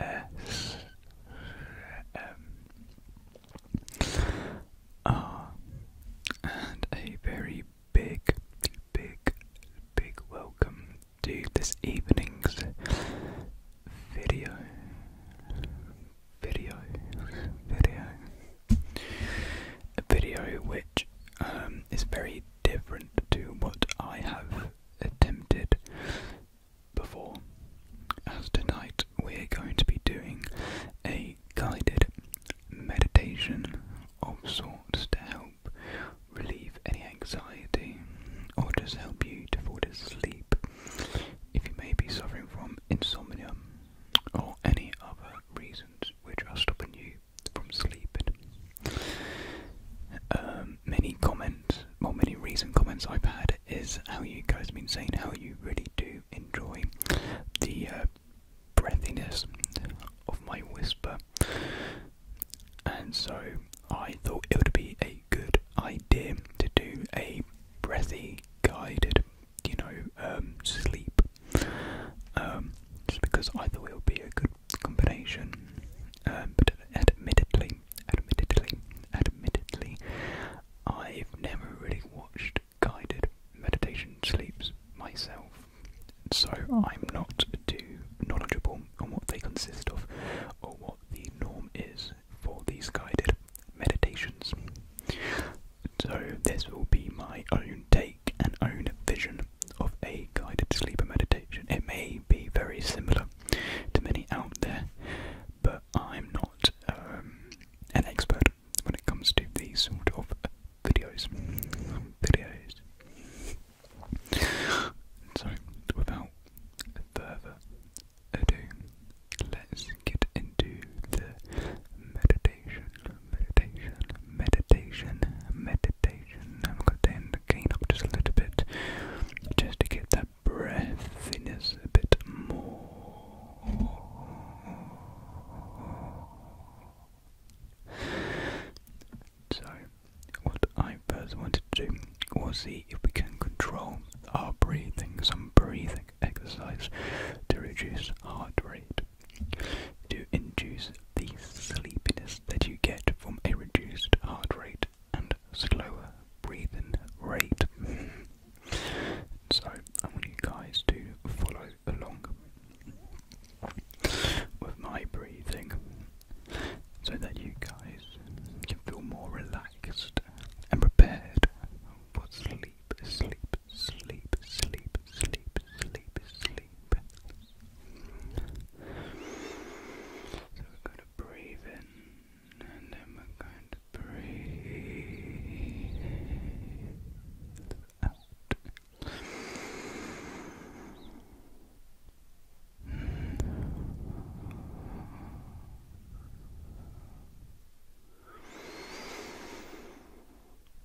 S M R and a very big, big, big welcome to this evening's video, video, video, a video which um, is very different to what I have attempted before. As tonight we are going to be doing a guided meditation of sorts to help relieve any anxiety or just help you to fall asleep if you may be suffering from insomnia or any other reasons which are stopping you from sleep, um, many comments, well, many recent comments I've had is how you guys have been saying how you really do enjoy the uh, breathiness of my whisper, and so I thought it would be a good idea to do a breathy guided, you know, um, sleep. Um, just because I thought it would be a good combination. Uh, um, but admittedly, admittedly, admittedly, I've never really watched guided meditation sleeps myself, so I'm not too knowledgeable on what they consist of or what the norm is for these guided meditations. So this will be my own take and own a vision of a guided sleeper meditation. It may be very similar to many out there, but I'm not um, an expert when it comes to these sort of videos. Videos. So, without further ado, let's get into the meditation meditation, meditation, meditation. I'm going to turn the gain up just a little bit, just to get that breathiness a bit more. So, what I first wanted to do was see if we can control our breathing, some breathing exercise to reduce heart rate to induce the sleepiness that you get from a reduced heart rate and slower breathing rate. So, I want you guys to follow along with my breathing so that you guys can feel more relaxed and prepared for sleep, sleep, sleep. So we're going to breathe in, and then we're going to breathe out.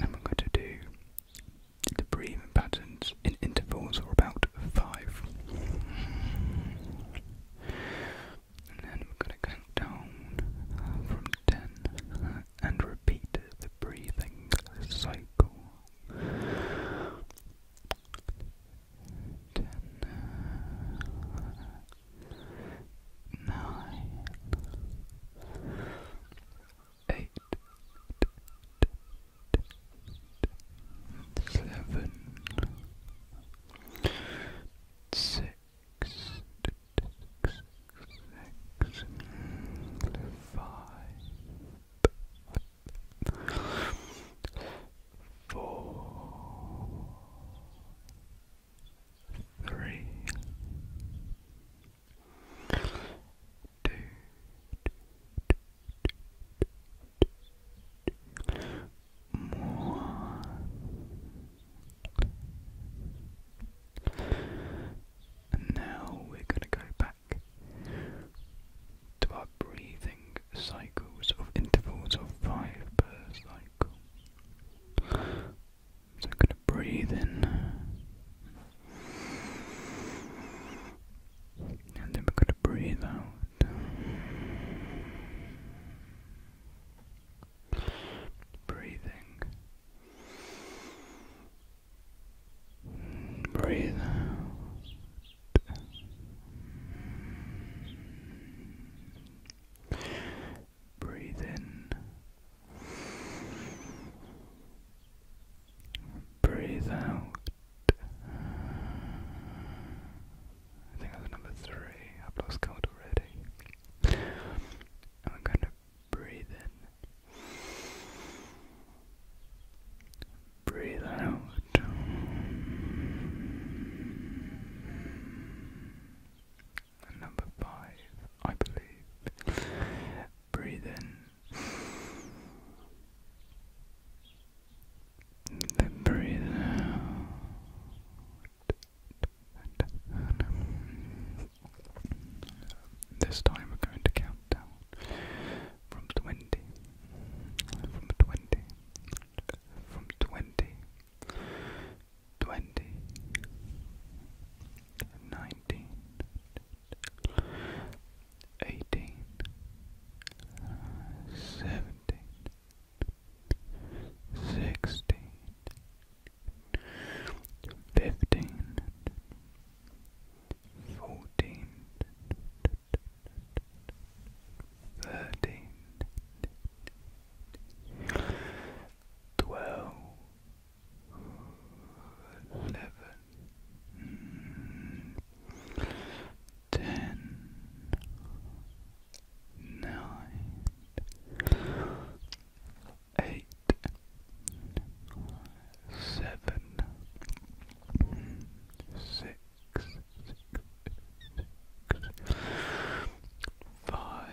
and we're going to do the breathing patterns in intervals or about five. And then we're going to count down from ten and repeat the breathing cycle. Ten, nine, eight, seven, six, six, six, five, four, three, more. And now we're going to go back to our breathing cycles of intervals of five per cycle. So I'm going to breathe in. And then we're going to breathe out. Breathing. Breathe Breathe in. Breathe out. I think that's number three. I've lost count already. I'm going to breathe in. Breathe out number five, I believe. Breathe in. Then breathe out. This time we're going to count down from 20, from 20, from 20 twenty, nineteen, eighteen, seventeen, sixteen, fifteen, fourteen, thirteen twelve, eleven, ten, nine, eight, seven, six. Six, six, five,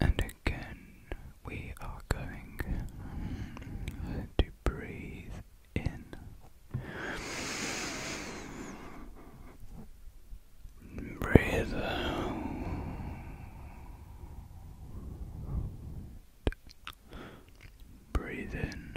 and again, we are going to breathe in. Breathe Breathe in.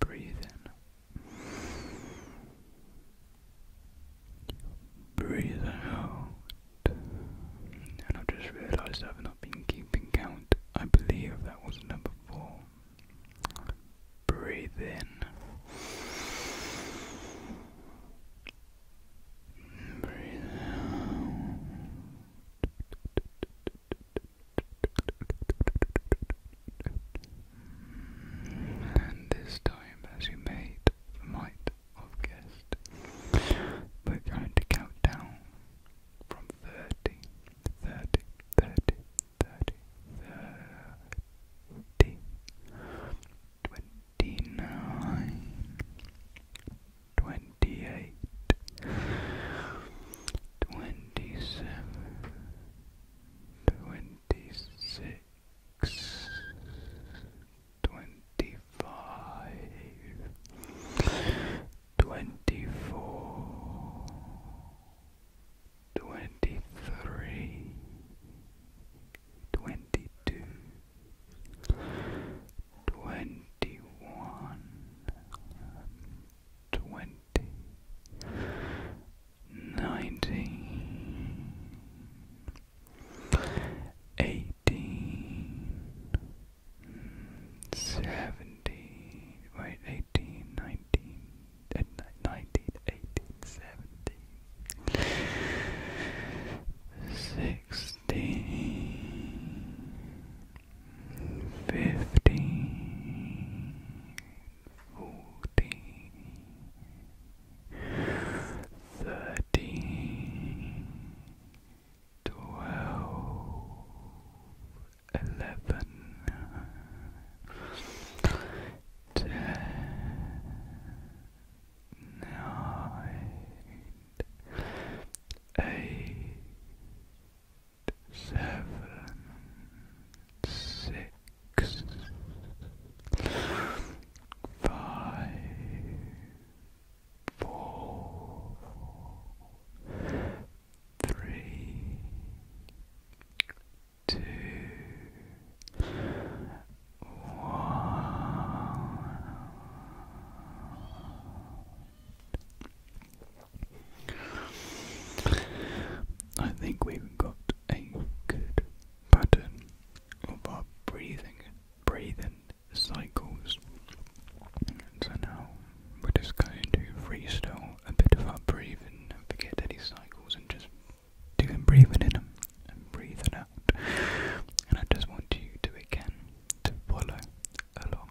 Breathe in. Breathe out. And i just realised I've not been keeping count. I believe that was number four. Breathe in. Breathe out. And this time, as you may might have guessed, we're going to count down from 30, Twenty seven, twenty six, twenty five, twenty four, twenty three, twenty two, twenty one twenty, nineteen, eighteen, seventeen, wait, eighteen, nineteen, uh, nineteen, eighteen, seventeen, sixteen fifteen, fourteen, thirteen, twelve, eleven, ten, nine, eight seven, six, five, four, three, two, one. I think we've got a good pattern of our breathing, breathing cycles. So now we're just going to freestyle a bit of our breathing and forget any cycles and just doing breathing in and breathing out. And I just want you to again to follow along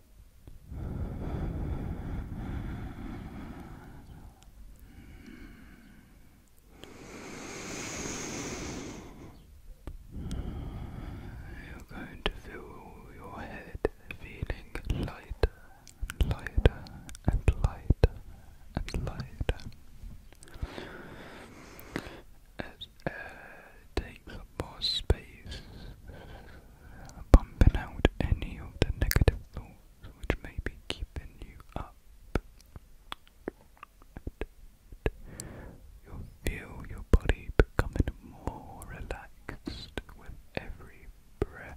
You're going to feel your head feeling lighter and lighter and lighter and lighter as air takes more space, pumping out any of the negative thoughts which may be keeping you up. you feel your body becoming more relaxed with every breath.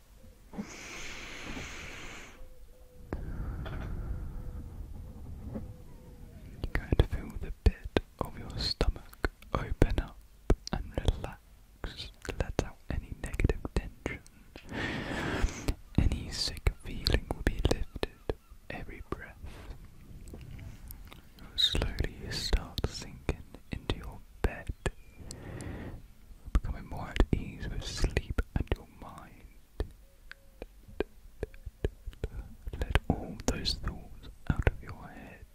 You can feel the pit of your stomach open up and relax. Let out any negative tension. Any sick feeling will be lifted. Every breath Slowly, you start sinking into your bed, becoming more at ease with sleep and your mind. Let all those thoughts out of your head.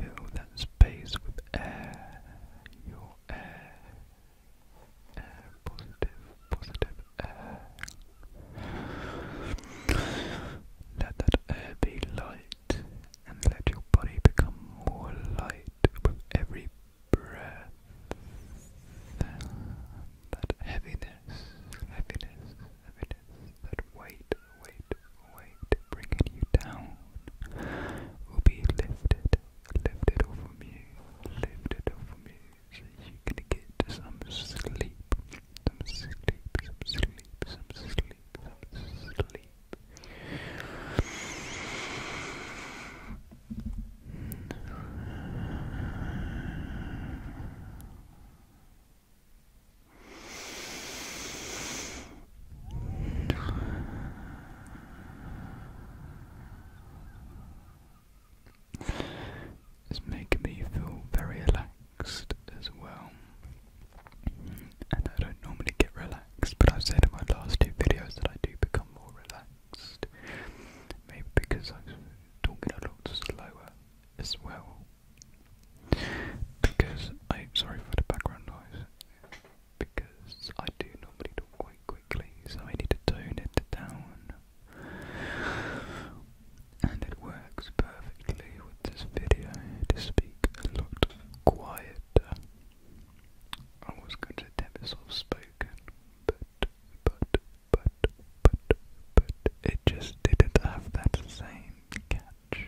Fill that space with air, your air, air, positive, positive air. Let that air be light, and let your body become more light with every breath. That heaviness, heaviness, heaviness, that weight, weight, weight bringing you down will be lifted, lifted off from you, lifted off from you, so you can get some sleep, some sleep, some sleep, some sleep sleep, some It's making me feel very relaxed as well. And I don't normally get relaxed, but I've said in my last two videos that I do become more relaxed. Maybe because I'm talking a lot slower as well. Because I sorry for the background noise. Because I do normally talk quite quickly, so I need to tone it down and it works perfectly with this video to speak a lot quieter. I was going to tap this off spoken, but, but, but, but, but, it just didn't have that same catch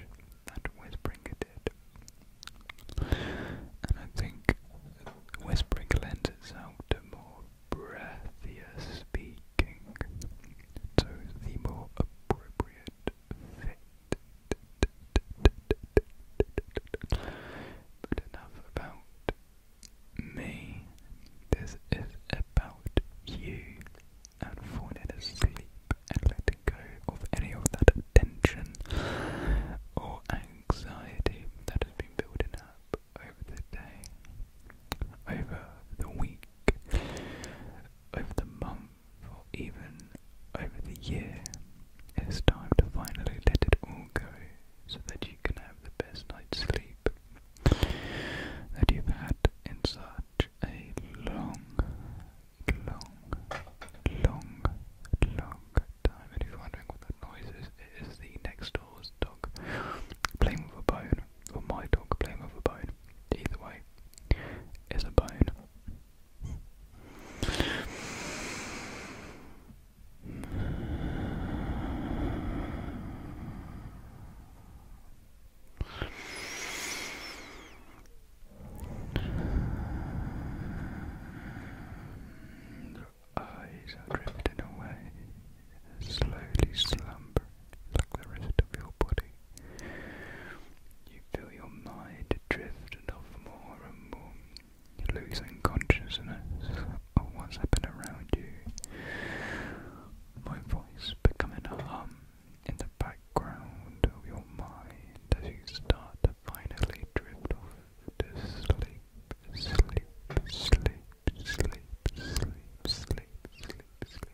that Whispering did. And I think Whispering lends itself to more breathier speaking, so the more appropriate fit. But enough about me. This is about you and falling asleep and letting go of any of that tension or anxiety that has been building up over the day, over the week, week, over the month, or even over the year. It's time to finally let it all go so that you can have the best night's sleep that you've had in such a long, long, long, long time. And if you're wondering what that noise is, it is the next door's dog playing with a bone or my dog playing with a bone. Either way, is a bone. The eyes are drifting away, slowly slumbering like the rest of your body. You feel your mind drift off more and more, you losing consciousness of what's happening around you. My voice becoming a hum in the background of your mind as you start to finally drift off to sleep, sleep, sleep, sleep, sleep, sleep, sleep. sleep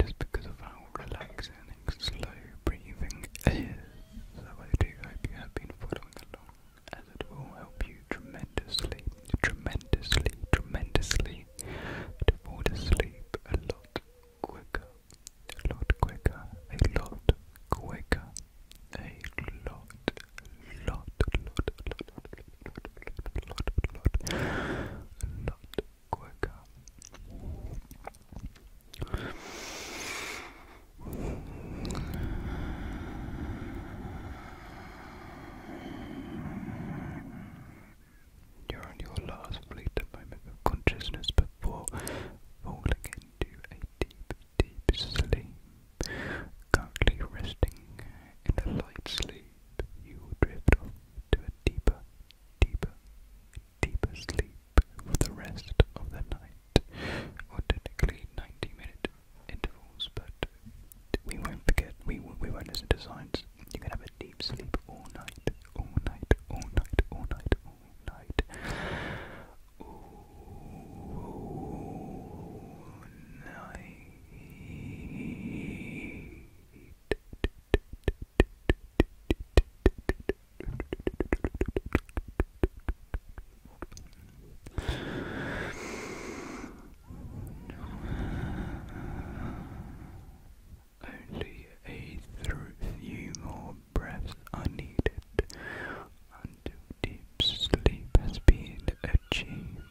just because of how relaxing slow breathing is. So I do hope you have been following along, as it will help you tremendously, tremendously, tremendously to fall asleep a lot quicker, a lot quicker, a lot quicker, a lot, lot, lot, lot, lot, you're on your last fleeting moment of consciousness before falling into a deep, deep sleep. Currently resting in a light sleep sleep, you will drift off to a deeper, deeper, deeper sleep for the rest of the night, or technically 90 minute intervals, but we won't forget, we, we won't listen to signs. You can have a deep sleep all night, all night, all night, all night, all night. All night. Only a few more breaths are needed until deep sleep has been achieved.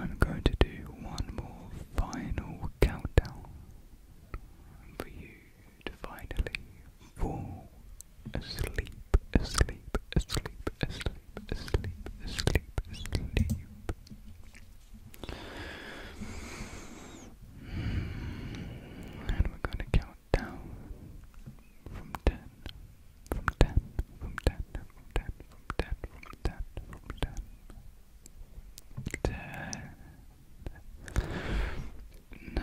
I'm going to do one more final countdown for you to finally fall asleep, asleep, asleep, asleep, asleep, asleep, asleep. And we're going to count down from 10, from 10, from 10, from 10, from 10, from 10, from 10. 10 9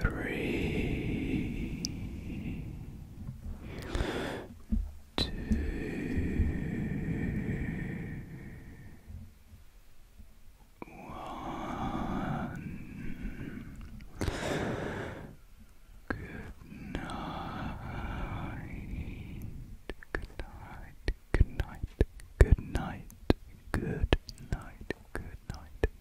three, two, one. Good night. Good night. Good night. Good night. Good night. Good night